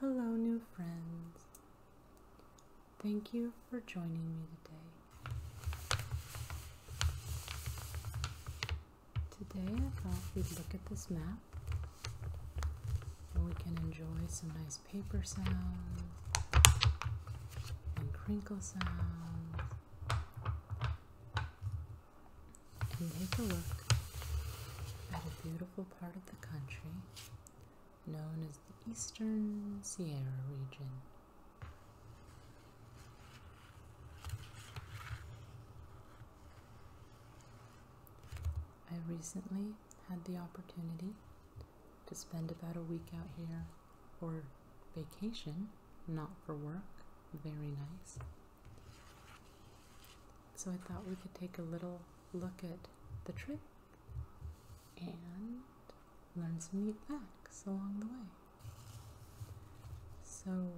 Hello, new friends. Thank you for joining me today. Today, I thought we'd look at this map and we can enjoy some nice paper sounds and crinkle sounds take a look at a beautiful part of the country known as the Eastern Sierra region. I recently had the opportunity to spend about a week out here for vacation, not for work. Very nice. So I thought we could take a little look at the trip and learn some neat facts along the way. So,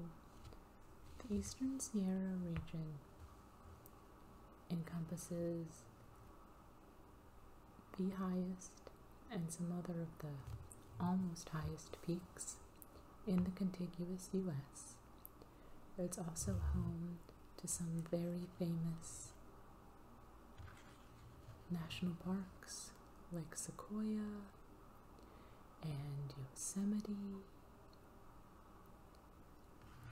the Eastern Sierra region encompasses the highest and some other of the almost highest peaks in the contiguous U.S. It's also home to some very famous national parks like Sequoia and Yosemite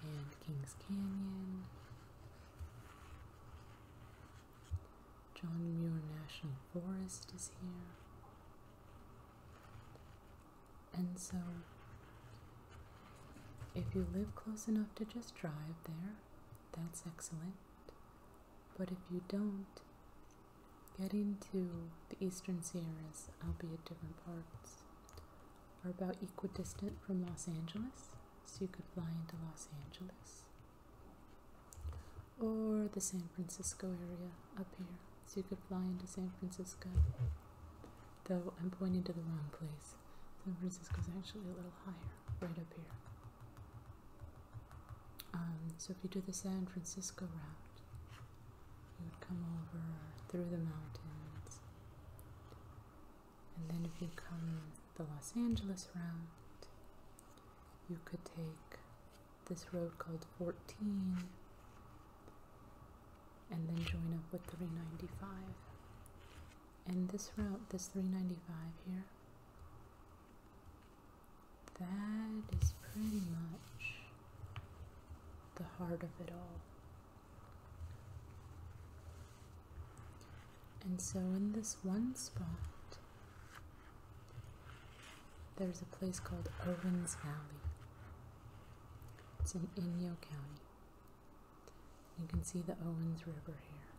and Kings Canyon. John Muir National Forest is here. And so, if you live close enough to just drive there, that's excellent. But if you don't, getting to the eastern Sierras, albeit different parts, are about equidistant from Los Angeles, so you could fly into Los Angeles or the San Francisco area up here so you could fly into San Francisco. Though I'm pointing to the wrong place. San Francisco's actually a little higher, right up here. Um, so if you do the San Francisco route, you would come over through the mountains. And then if you come the Los Angeles route, you could take this road called 14 and then join up with 395. And this route, this 395 here, that is pretty much the heart of it all. And so in this one spot, there's a place called Owens Valley. It's in Inyo County. You can see the Owens River here.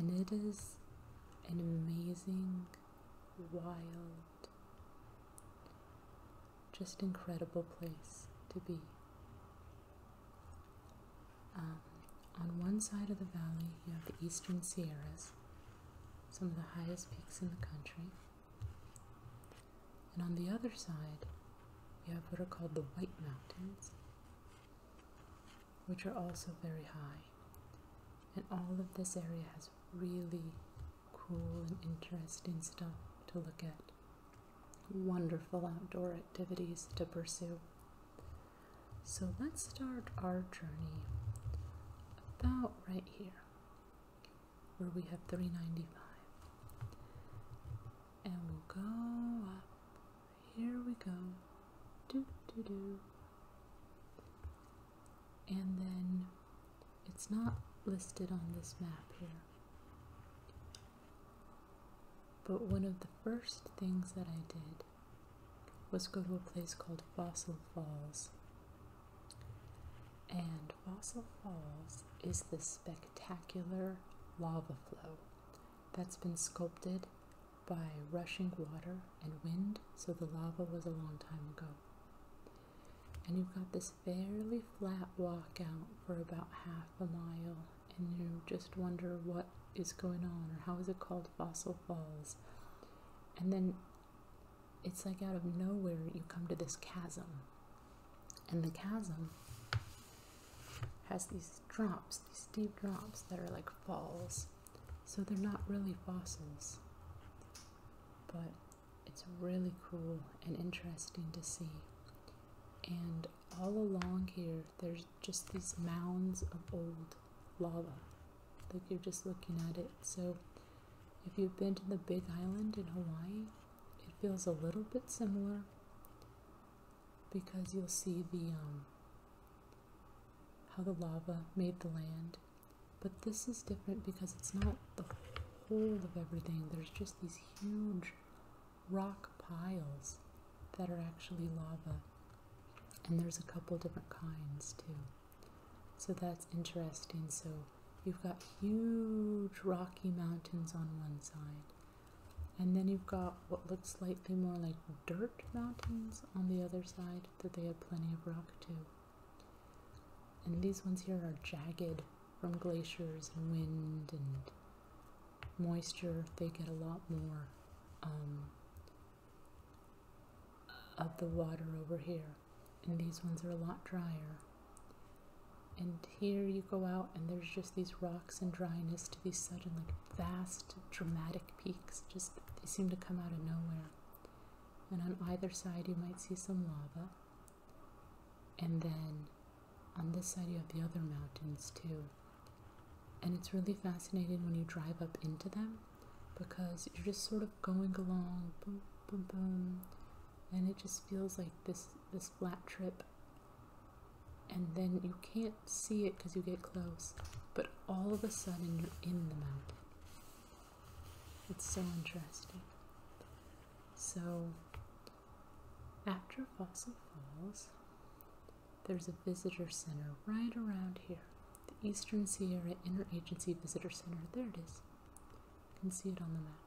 And it is an amazing, wild, just incredible place to be. Um, on one side of the valley, you have the Eastern Sierras, some of the highest peaks in the country. And on the other side, you have what are called the White Mountains, which are also very high. And all of this area has really cool and interesting stuff to look at, wonderful outdoor activities to pursue. So let's start our journey about right here where we have 395 and we'll go up here we go do do do and then it's not listed on this map here but one of the first things that I did was go to a place called Fossil Falls and Fossil Falls is the spectacular lava flow that's been sculpted by rushing water and wind, so the lava was a long time ago. And you've got this fairly flat walk out for about half a mile, and you just wonder what is going on or how is it called Fossil Falls. And then it's like out of nowhere you come to this chasm. And the chasm has these drops, these deep drops that are like falls. So they're not really fossils. But it's really cool and interesting to see. And all along here, there's just these mounds of old lava. Like you're just looking at it. So if you've been to the Big Island in Hawaii, it feels a little bit similar because you'll see the um, how the lava made the land, but this is different because it's not the whole of everything. There's just these huge rock piles that are actually lava, and there's a couple different kinds too. So that's interesting. So you've got huge rocky mountains on one side, and then you've got what looks slightly more like dirt mountains on the other side that they have plenty of rock too. And these ones here are jagged from glaciers and wind and moisture. They get a lot more um, of the water over here and these ones are a lot drier. And here you go out, and there's just these rocks and dryness to these sudden, like vast, dramatic peaks. Just they seem to come out of nowhere. And on either side, you might see some lava. And then on this side, you have the other mountains too. And it's really fascinating when you drive up into them because you're just sort of going along, boom, boom, boom, and it just feels like this this flat trip. And then you can't see it because you get close, but all of a sudden you're in the mountain. It's so interesting. So after Fossil Falls, there's a visitor center right around here. The Eastern Sierra Interagency Visitor Center. There it is. You can see it on the map.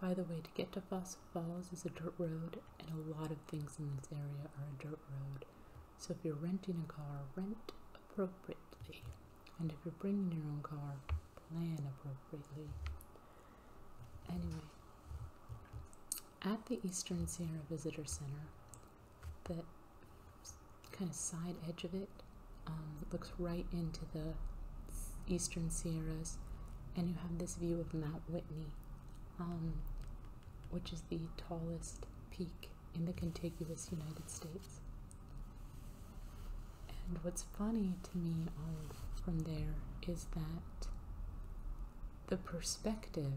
By the way, to get to Fossil Falls is a dirt road, and a lot of things in this area are a dirt road. So if you're renting a car, rent appropriately. And if you're bringing your own car, plan appropriately. Anyway, at the Eastern Sierra Visitor Center, the kind of side edge of it um, looks right into the eastern Sierras, and you have this view of Mount Whitney, um, which is the tallest peak in the contiguous United States. And what's funny to me from there is that the perspective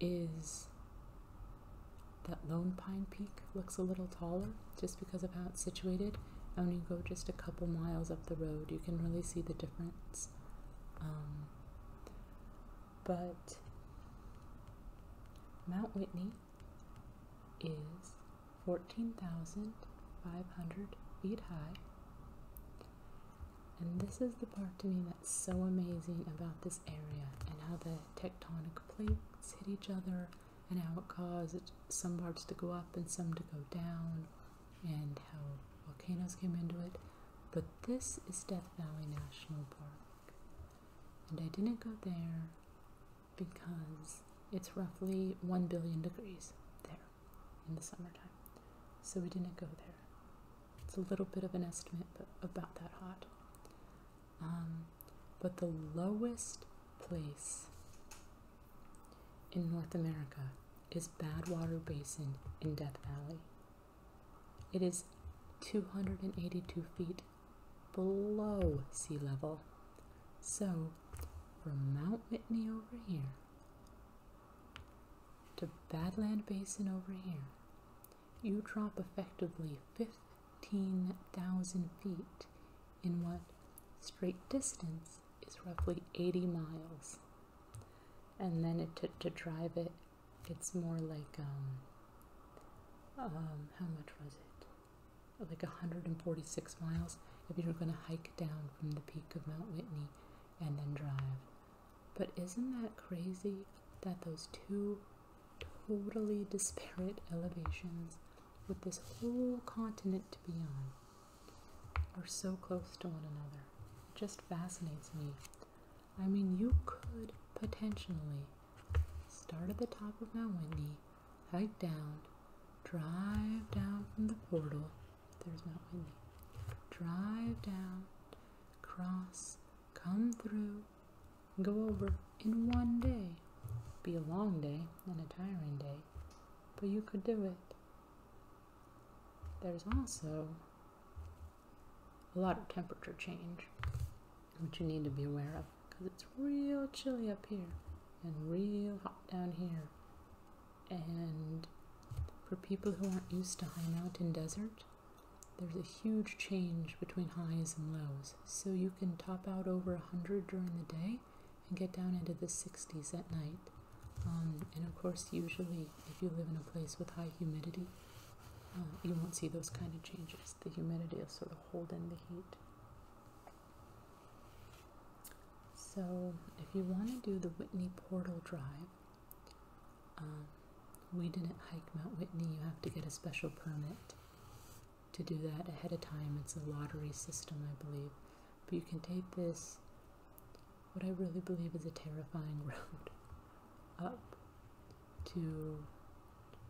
is that lone pine peak looks a little taller just because of how it's situated. And when you go just a couple miles up the road, you can really see the difference. Um, but Mount Whitney is 14,500 feet high. And this is the part to me that so amazing about this area and how the tectonic plates hit each other and how it caused some parts to go up and some to go down and how volcanoes came into it. But this is Death Valley National Park. And I didn't go there because it's roughly 1 billion degrees there in the summertime. So we didn't go there. It's a little bit of an estimate, but about that hot. Um, but the lowest place in North America is Badwater Basin in Death Valley. It is 282 feet below sea level. So, from Mount Whitney over here to Badland Basin over here, you drop effectively 50 15,000 feet in what straight distance is roughly 80 miles. And then it to drive it, it's more like, um, um, how much was it? Like 146 miles if you are going to hike down from the peak of Mount Whitney and then drive. But isn't that crazy that those two totally disparate elevations with this whole continent to be on are so close to one another. It just fascinates me. I mean, you could potentially start at the top of Mount Whitney, hike down, drive down from the portal. There's Mount Whitney. Drive down, cross, come through, go over in one day. Be a long day and a tiring day, but you could do it. There's also a lot of temperature change, which you need to be aware of because it's real chilly up here and real hot down here. And for people who aren't used to high mountain desert, there's a huge change between highs and lows, so you can top out over 100 during the day and get down into the 60s at night. Um, and of course, usually, if you live in a place with high humidity, uh, you won't see those kind of changes. The humidity will sort of hold in the heat. So, if you want to do the Whitney Portal Drive, um, we didn't hike Mount Whitney, you have to get a special permit to do that ahead of time. It's a lottery system, I believe. But you can take this, what I really believe is a terrifying road, up to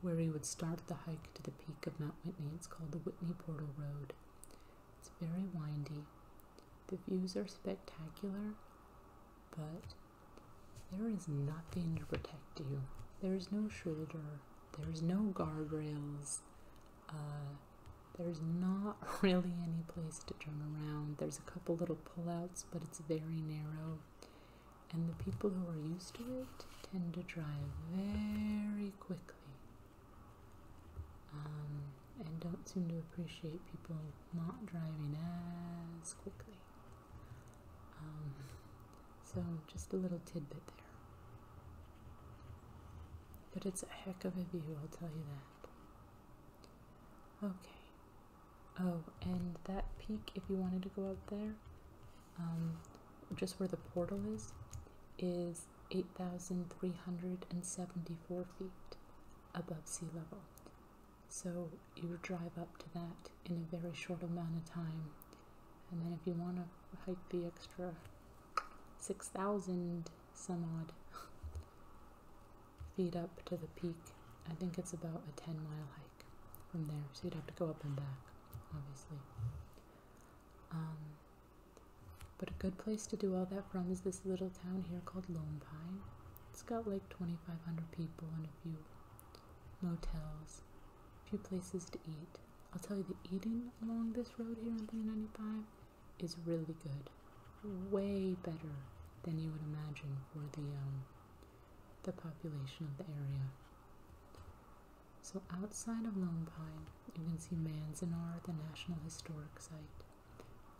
where you would start the hike to the peak of Mount Whitney. It's called the Whitney Portal Road. It's very windy. The views are spectacular, but there is nothing to protect you. There is no shoulder. There is no guardrails. Uh, there's not really any place to turn around. There's a couple little pullouts, but it's very narrow. And the people who are used to it tend to drive very quickly um, and don't seem to appreciate people not driving as quickly. Um, so, just a little tidbit there. But it's a heck of a view, I'll tell you that. Okay. Oh, and that peak, if you wanted to go up there, um, just where the portal is, is 8,374 feet above sea level. So you drive up to that in a very short amount of time and then if you want to hike the extra 6,000 some odd feet up to the peak, I think it's about a 10 mile hike from there, so you'd have to go up and back, obviously. Um, but a good place to do all that from is this little town here called Lone Pine. It's got like 2,500 people and a few motels few places to eat. I'll tell you, the eating along this road here on 395 is really good, way better than you would imagine for the um, the population of the area. So outside of Lone Pine, you can see Manzanar, the National Historic Site,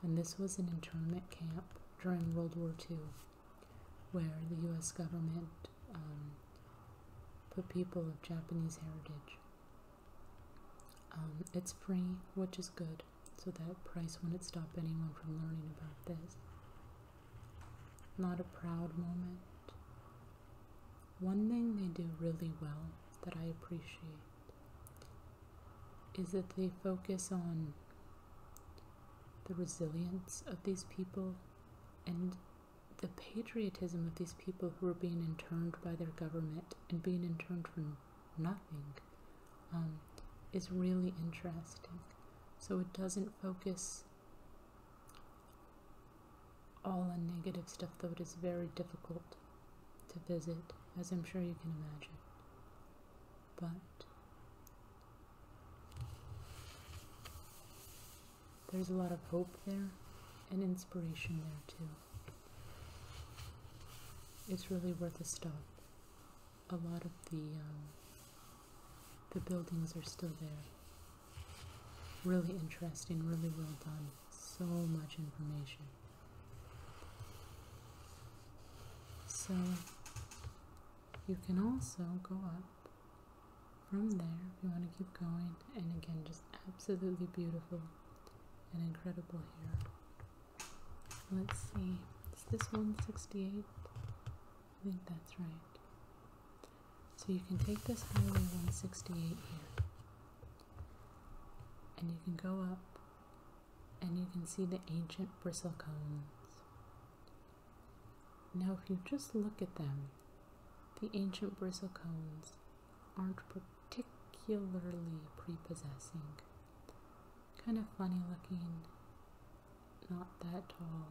and this was an internment camp during World War II where the US government um, put people of Japanese heritage. Um, it's free, which is good, so that price wouldn't stop anyone from learning about this. Not a proud moment. One thing they do really well that I appreciate is that they focus on the resilience of these people and the patriotism of these people who are being interned by their government and being interned for nothing um, is really interesting. So it doesn't focus all on negative stuff, though it is very difficult to visit, as I'm sure you can imagine. But there's a lot of hope there and inspiration there too. It's really worth a stop. A lot of the um, the buildings are still there. Really interesting, really well done. So much information. So you can also go up from there, we want to keep going, and again, just absolutely beautiful and incredible here. Let's see, is this 168? I think that's right. So you can take this highway 168 here, and you can go up, and you can see the ancient bristlecones. Now, if you just look at them, the ancient bristle cones aren't particularly prepossessing. Kind of funny looking, not that tall.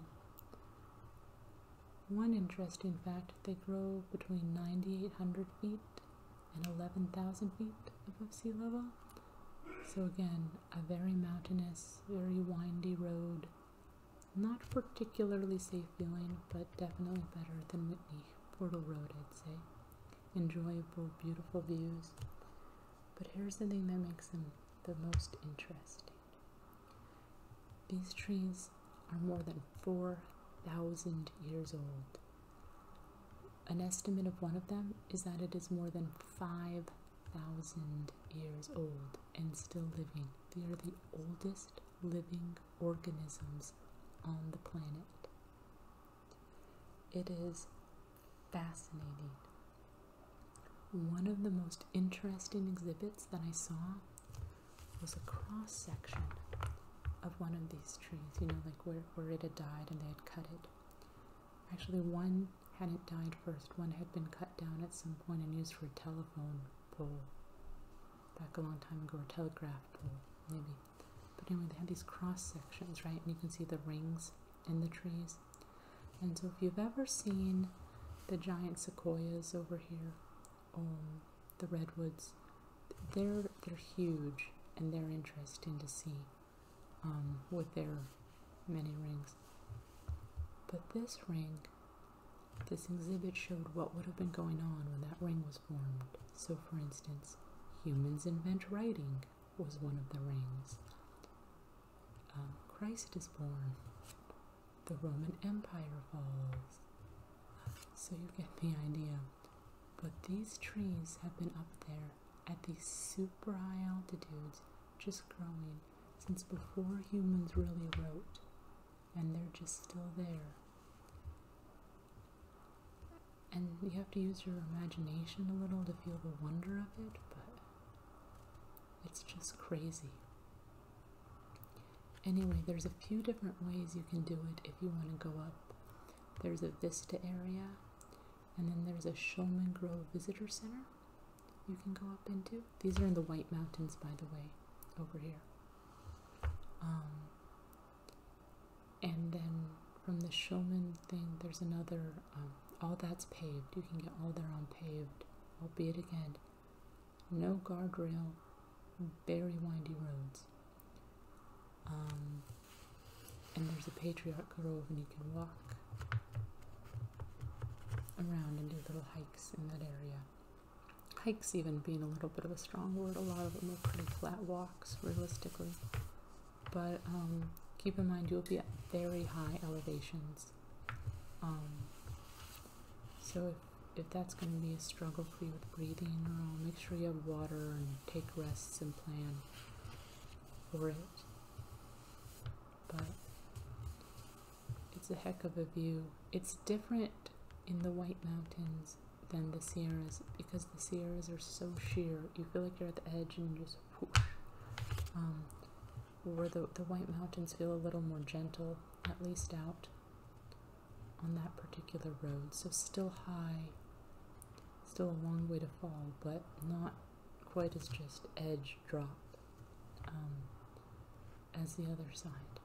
One interesting fact they grow between 9,800 feet and 11,000 feet above sea level. So, again, a very mountainous, very windy road not particularly safe feeling, but definitely better than Whitney, Portal Road, I'd say. Enjoyable, beautiful views. But here's the thing that makes them the most interesting these trees are more than 4,000 years old. An estimate of one of them is that it is more than 5,000 years old and still living. They are the oldest living organisms on the planet. It is fascinating. One of the most interesting exhibits that I saw was a cross section of one of these trees, you know, like where, where it had died and they had cut it. Actually, one hadn't died first, one had been cut down at some point and used for telephone pole back a long time ago, or telegraph pole, maybe. But anyway, they have these cross sections, right? And you can see the rings in the trees. And so, if you've ever seen the giant sequoias over here, um, the redwoods, they're they're huge and they're interesting to see um, with their many rings. But this ring this exhibit showed what would have been going on when that ring was formed. So, for instance, humans invent writing was one of the rings. Um, Christ is born. The Roman Empire falls. So you get the idea. But these trees have been up there at these super high altitudes, just growing since before humans really wrote and they're just still there. And you have to use your imagination a little to feel the wonder of it, but it's just crazy. Anyway, there's a few different ways you can do it if you want to go up. There's a Vista area, and then there's a Shulman Grove Visitor Center you can go up into. These are in the White Mountains, by the way, over here. Um, and then from the showman thing, there's another, um, all that's paved. You can get all there on paved, albeit again, no guardrail, very windy roads. Um, and there's a patriarch grove, and you can walk around and do little hikes in that area. Hikes, even being a little bit of a strong word, a lot of them are pretty flat walks, realistically. But um, keep in mind, you'll be at very high elevations. Um, so if, that's going to be a struggle for you with breathing, uh, make sure you have water and take rests and plan for it. But it's a heck of a view. It's different in the White Mountains than the Sierras because the Sierras are so sheer. You feel like you're at the edge and just whoosh. Um, where the, the White Mountains feel a little more gentle, at least out on that particular road. So still high, still a long way to fall, but not quite as just edge drop. Um, as the other side.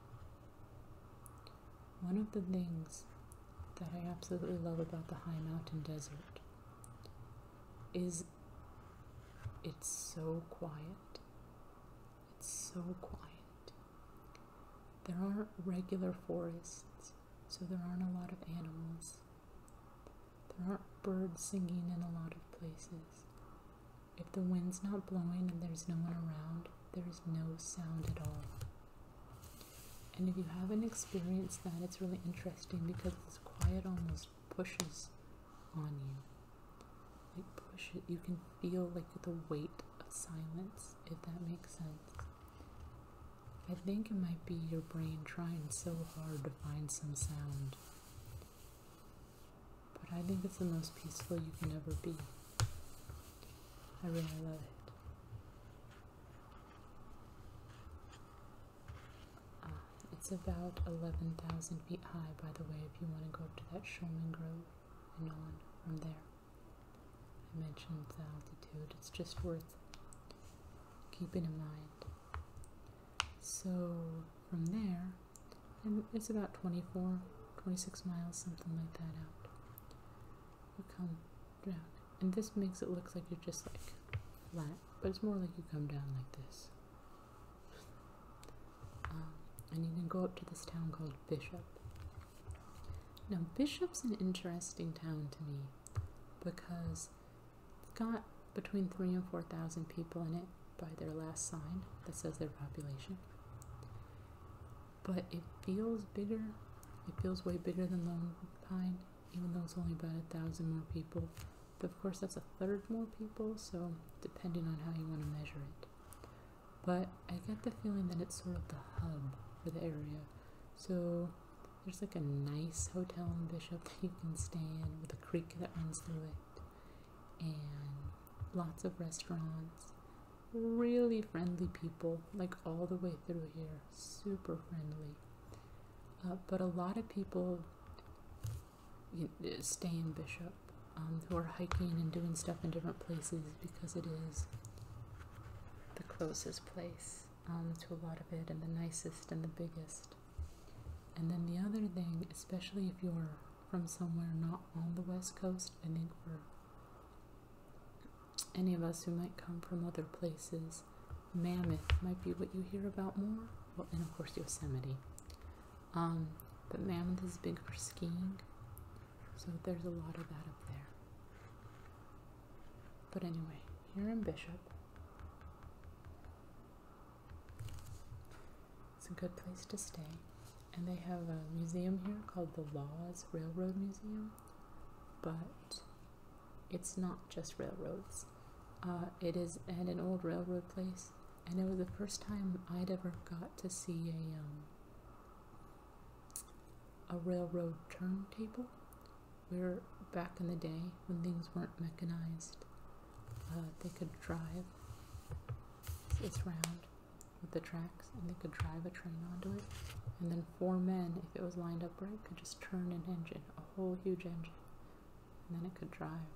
One of the things that I absolutely love about the high mountain desert is it's so quiet. It's so quiet. There aren't regular forests, so there aren't a lot of animals. There aren't birds singing in a lot of places. If the wind's not blowing and there's no one around, there is no sound at all. And if you haven't experienced that, it's really interesting because this quiet almost pushes on you. Like pushes, you can feel like the weight of silence, if that makes sense. I think it might be your brain trying so hard to find some sound. But I think it's the most peaceful you can ever be. I really love it. Ah, it's about 11,000 feet high, by the way, if you want to go up to that Sherman Grove and on from there. I mentioned the altitude, it's just worth keeping in mind. So from there, and it's about 24, 26 miles, something like that out. You come down, and this makes it look like you're just like flat, but it's more like you come down like this. Um, and you can go up to this town called Bishop. Now, Bishop's an interesting town to me because it's got between three and four thousand people in it, by their last sign that says their population. But it feels bigger. It feels way bigger than Lone Pine, even though it's only about a thousand more people. But of course, that's a third more people, so depending on how you want to measure it. But I get the feeling that it's sort of the hub for the area. So there's like a nice hotel in Bishop that you can stay in with a creek that runs through it and lots of restaurants. Really friendly people, like all the way through here, super friendly. Uh, but a lot of people uh, stay in Bishop um, who are hiking and doing stuff in different places because it is the closest place um, to a lot of it and the nicest and the biggest. And then the other thing, especially if you're from somewhere not on the west coast, I think for any of us who might come from other places, Mammoth might be what you hear about more. Well, and of course, Yosemite. Um, but Mammoth is big for skiing, so there's a lot of that up there. But anyway, here in Bishop, it's a good place to stay. And they have a museum here called the Laws Railroad Museum, but it's not just railroads. Uh, it is at an old railroad place, and it was the first time I'd ever got to see a um, a railroad turntable. We're back in the day when things weren't mechanized, uh, they could drive. this round with the tracks and they could drive a train onto it. And then four men, if it was lined up right, could just turn an engine, a whole huge engine. And then it could drive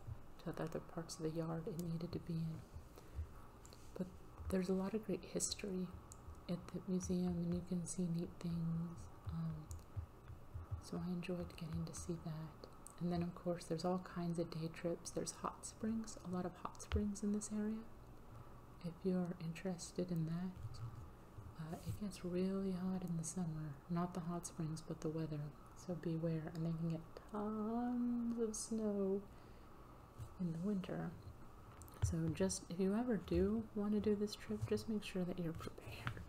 to the other parts of the yard it needed to be in. But there's a lot of great history at the museum and you can see neat things. Um, so I enjoyed getting to see that. And then, of course, there's all kinds of day trips. There's hot springs, a lot of hot springs in this area. If you're interested in that, uh, it gets really hot in the summer. Not the hot springs, but the weather. So beware. And they can get tons of snow in the winter. So just, if you ever do want to do this trip, just make sure that you're prepared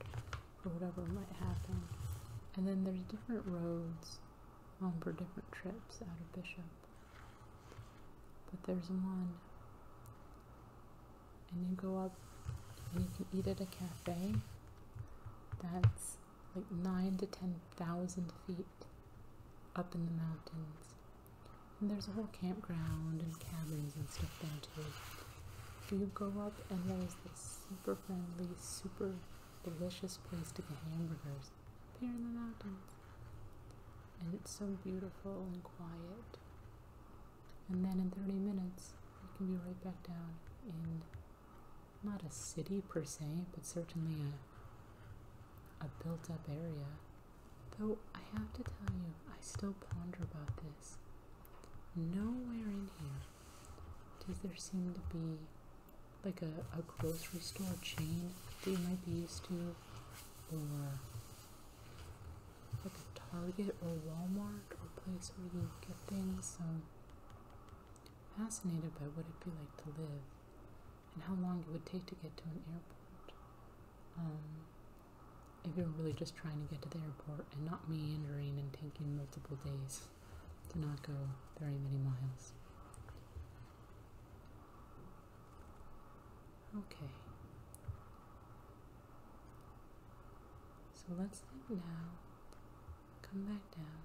for whatever might happen. And then there's different roads um, for different trips out of Bishop. But there's one. And you go up and you can eat at a cafe that's like nine to ten thousand feet up in the mountains. And there's a whole campground and cabins and stuff there too. you go up and there's this super friendly, super delicious place to get hamburgers just there in the mountains. And it's so beautiful and quiet. And then in 30 minutes, I can be right back down in not a city per se, but certainly a, a built up area. Though I have to tell you, I still ponder about this. Nowhere in here does there seem to be like a, a grocery store chain that you might be used to, or like a Target or Walmart or a place where you get things. So fascinated by what it'd be like to live and how long it would take to get to an airport. Um, if you're really just trying to get to the airport and not meandering and taking multiple days to not go very many miles. Okay. So let's think now. Come back down.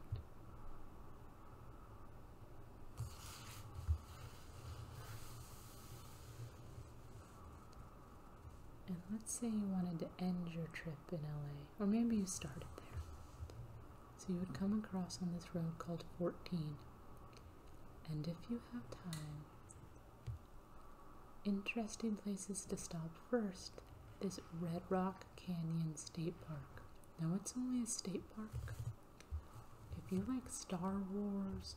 And let's say you wanted to end your trip in LA, or maybe you started there. So you would come across on this road called 14. And if you have time, interesting places to stop first is Red Rock Canyon State Park. Now it's only a state park. If you like Star Wars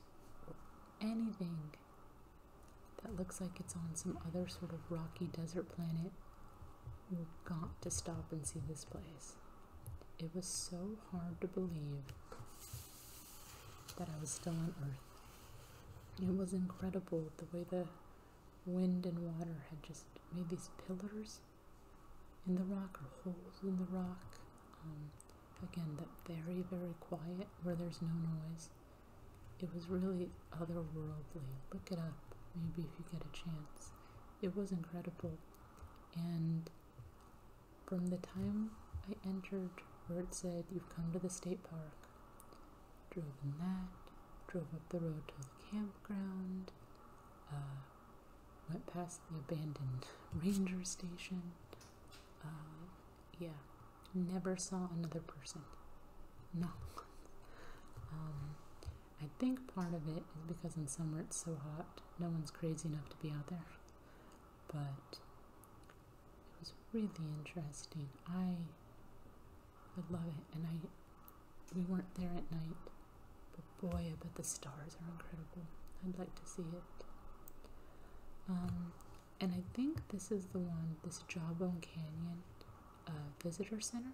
or anything that looks like it's on some other sort of rocky desert planet, you've got to stop and see this place. It was so hard to believe that I was still on Earth. It was incredible the way the wind and water had just made these pillars in the rock or holes in the rock. Um, again, that very, very quiet where there's no noise. It was really otherworldly. Look it up maybe if you get a chance. It was incredible. And from the time I entered where said, You've come to the state park, drove in that, drove up the road to the campground, uh, went past the abandoned ranger station. Uh, yeah, never saw another person. No. Um, I think part of it is because in summer it's so hot no one's crazy enough to be out there. But it was really interesting. I I love it. And I we weren't there at night, but boy, but the stars are incredible. I'd like to see it. Um, and I think this is the one, this Jawbone Canyon uh, Visitor Center.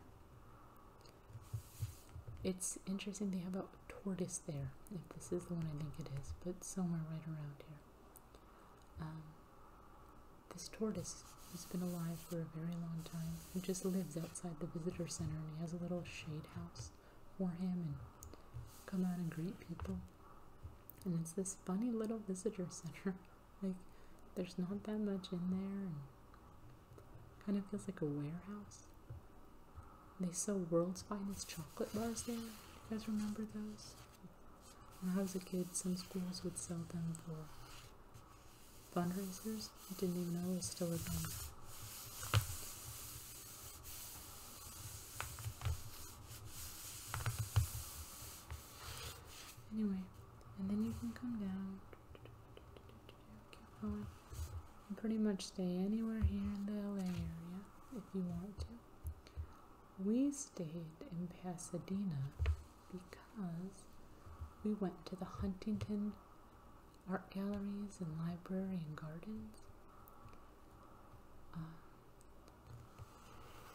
It's interesting they have a tortoise there, if this is the one I think it is, but somewhere right around here. Um, this tortoise has been alive for a very long time. He just lives outside the visitor center and he has a little shade house for him and come out and greet people. And it's this funny little visitor center. like there's not that much in there and kind of feels like a warehouse. They sell world's finest chocolate bars there. You guys remember those? When I was a kid, some schools would sell them for fundraisers. I didn't even know it was still a thing. Anyway, and then you can come down Keep You pretty much stay anywhere here in the LA area if you want to. We stayed in Pasadena because we went to the Huntington art galleries and library and gardens. Uh,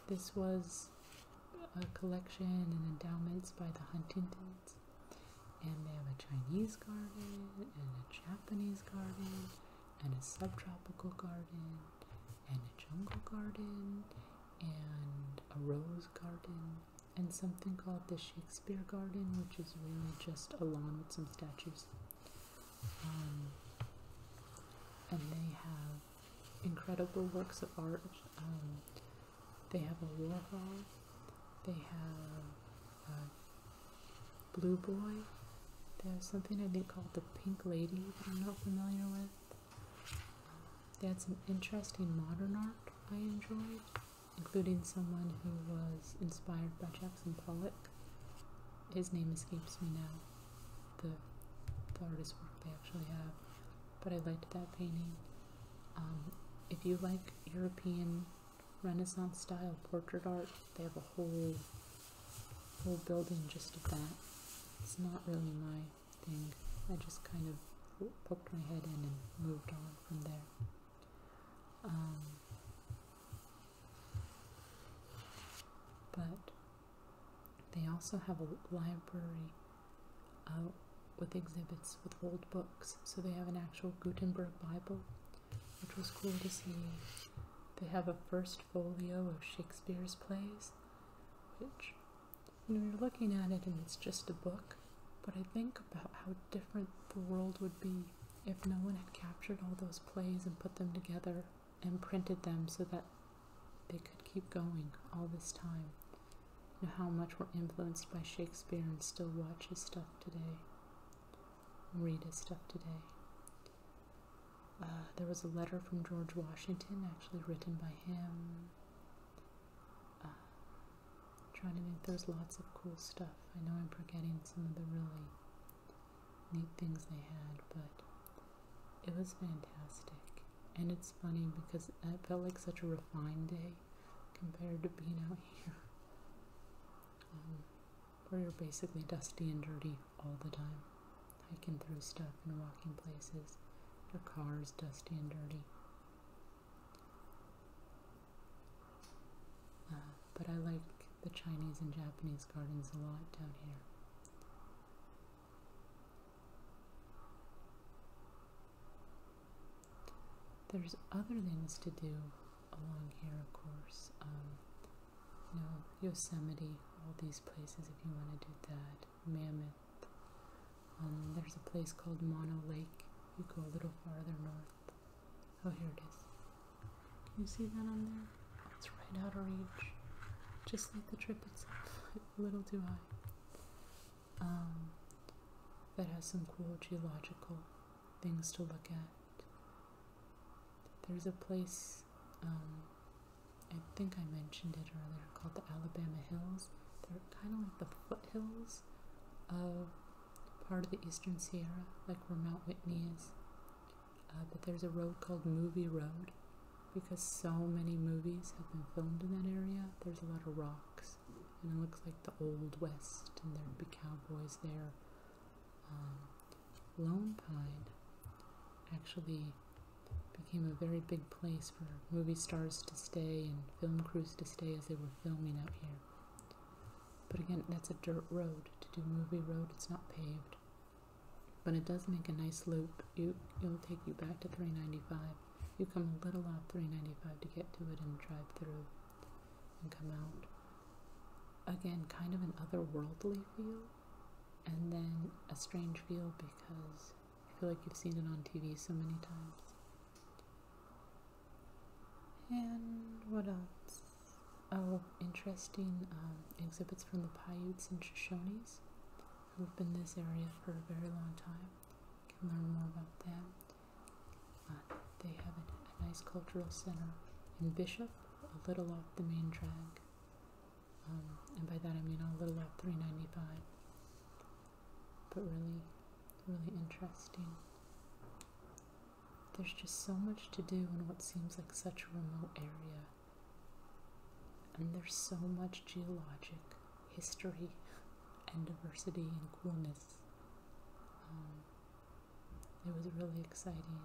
this was a collection and endowments by the Huntingtons and they have a Chinese garden, and a Japanese garden, and a subtropical garden, and a jungle garden, and a rose garden, and something called the Shakespeare Garden, which is really just a lawn with some statues. Um, and they have incredible works of art. Um, they have a Warhol. They have uh, Blue Boy. There's something I think called The Pink Lady that I'm not familiar with. They had some interesting modern art I enjoyed, including someone who was inspired by Jackson Pollock. His name escapes me now, the, the artist's work they actually have, but I liked that painting. Um, if you like European Renaissance style portrait art. They have a whole whole building just of that. It's not really my thing. I just kind of poked my head in and moved on from there. Um, but they also have a library uh, with exhibits with old books. So they have an actual Gutenberg Bible which was cool to see. They have a first folio of Shakespeare's plays, which, you know, you're looking at it and it's just a book, but I think about how different the world would be if no one had captured all those plays and put them together and printed them so that they could keep going all this time. You know, how much we're influenced by Shakespeare and still watch his stuff today read his stuff today. Uh, there was a letter from George Washington, actually written by him. Uh, trying to think, there's lots of cool stuff. I know I'm forgetting some of the really neat things they had, but it was fantastic. And it's funny because it felt like such a refined day compared to being out here. Um, where you're basically dusty and dirty all the time, hiking through stuff and walking places. Your car is dusty and dirty. Uh, but I like the Chinese and Japanese gardens a lot down here. There's other things to do along here, of course. Um, you know, Yosemite, all these places if you want to do that. Mammoth. Um, there's a place called Mono Lake. You go a little farther north. Oh, here it is. Can you see that on there? it's right out of reach. Just like the trip itself. a little too high. Um, that has some cool geological things to look at. There's a place, um, I think I mentioned it earlier, called the Alabama Hills. They're kind of like the foothills of part of the Eastern Sierra, like where Mount Whitney is. Uh, but there's a road called Movie Road because so many movies have been filmed in that area. There's a lot of rocks, and it looks like the Old West, and there'd be cowboys there. Um, Lone Pine actually became a very big place for movie stars to stay and film crews to stay as they were filming out here. But again, that's a dirt road. To do movie road, it's not paved. But it does make a nice loop. You, it'll take you back to 395. You come a little off 395 to get to it and drive through and come out. Again, kind of an otherworldly feel, and then a strange feel because I feel like you've seen it on TV so many times. And what else? Oh, interesting um, exhibits from the Paiutes and Shoshones who have been this area for a very long time. can learn more about them. Uh, they have a nice cultural center in Bishop a little off the main drag. Um, and by that I mean a little off 395. But really, really interesting. There's just so much to do in what seems like such a remote area. And there's so much geologic history and diversity and coolness. Um, it was really exciting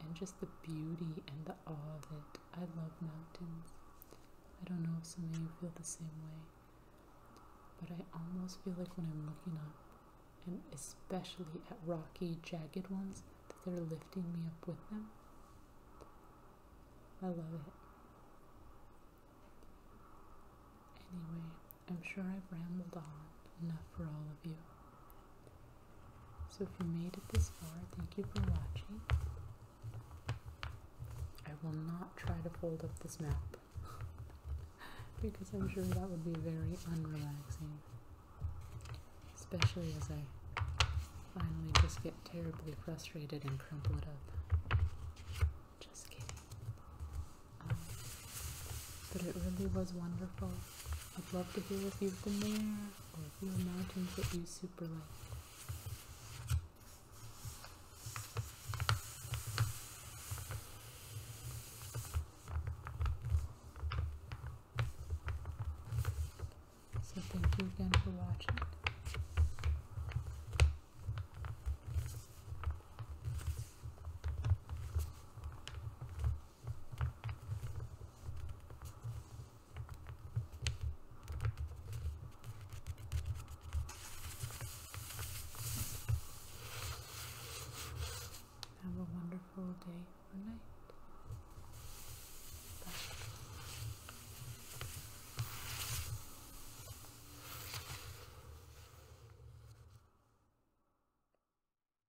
and just the beauty and the awe of it. I love mountains. I don't know if some of you feel the same way, but I almost feel like when I'm looking up, and especially at rocky, jagged ones, that they're lifting me up with them. I love it. Anyway, I'm sure I've rambled on enough for all of you. So if you made it this far, thank you for watching. I will not try to fold up this map because I'm sure that would be very unrelaxing, especially as I finally just get terribly frustrated and crumple it up. Just kidding. Um, but it really was wonderful. I'd love to hear if you've been there or if you mountains that you super like. So thank you again for watching. Have a wonderful day or night. Bye.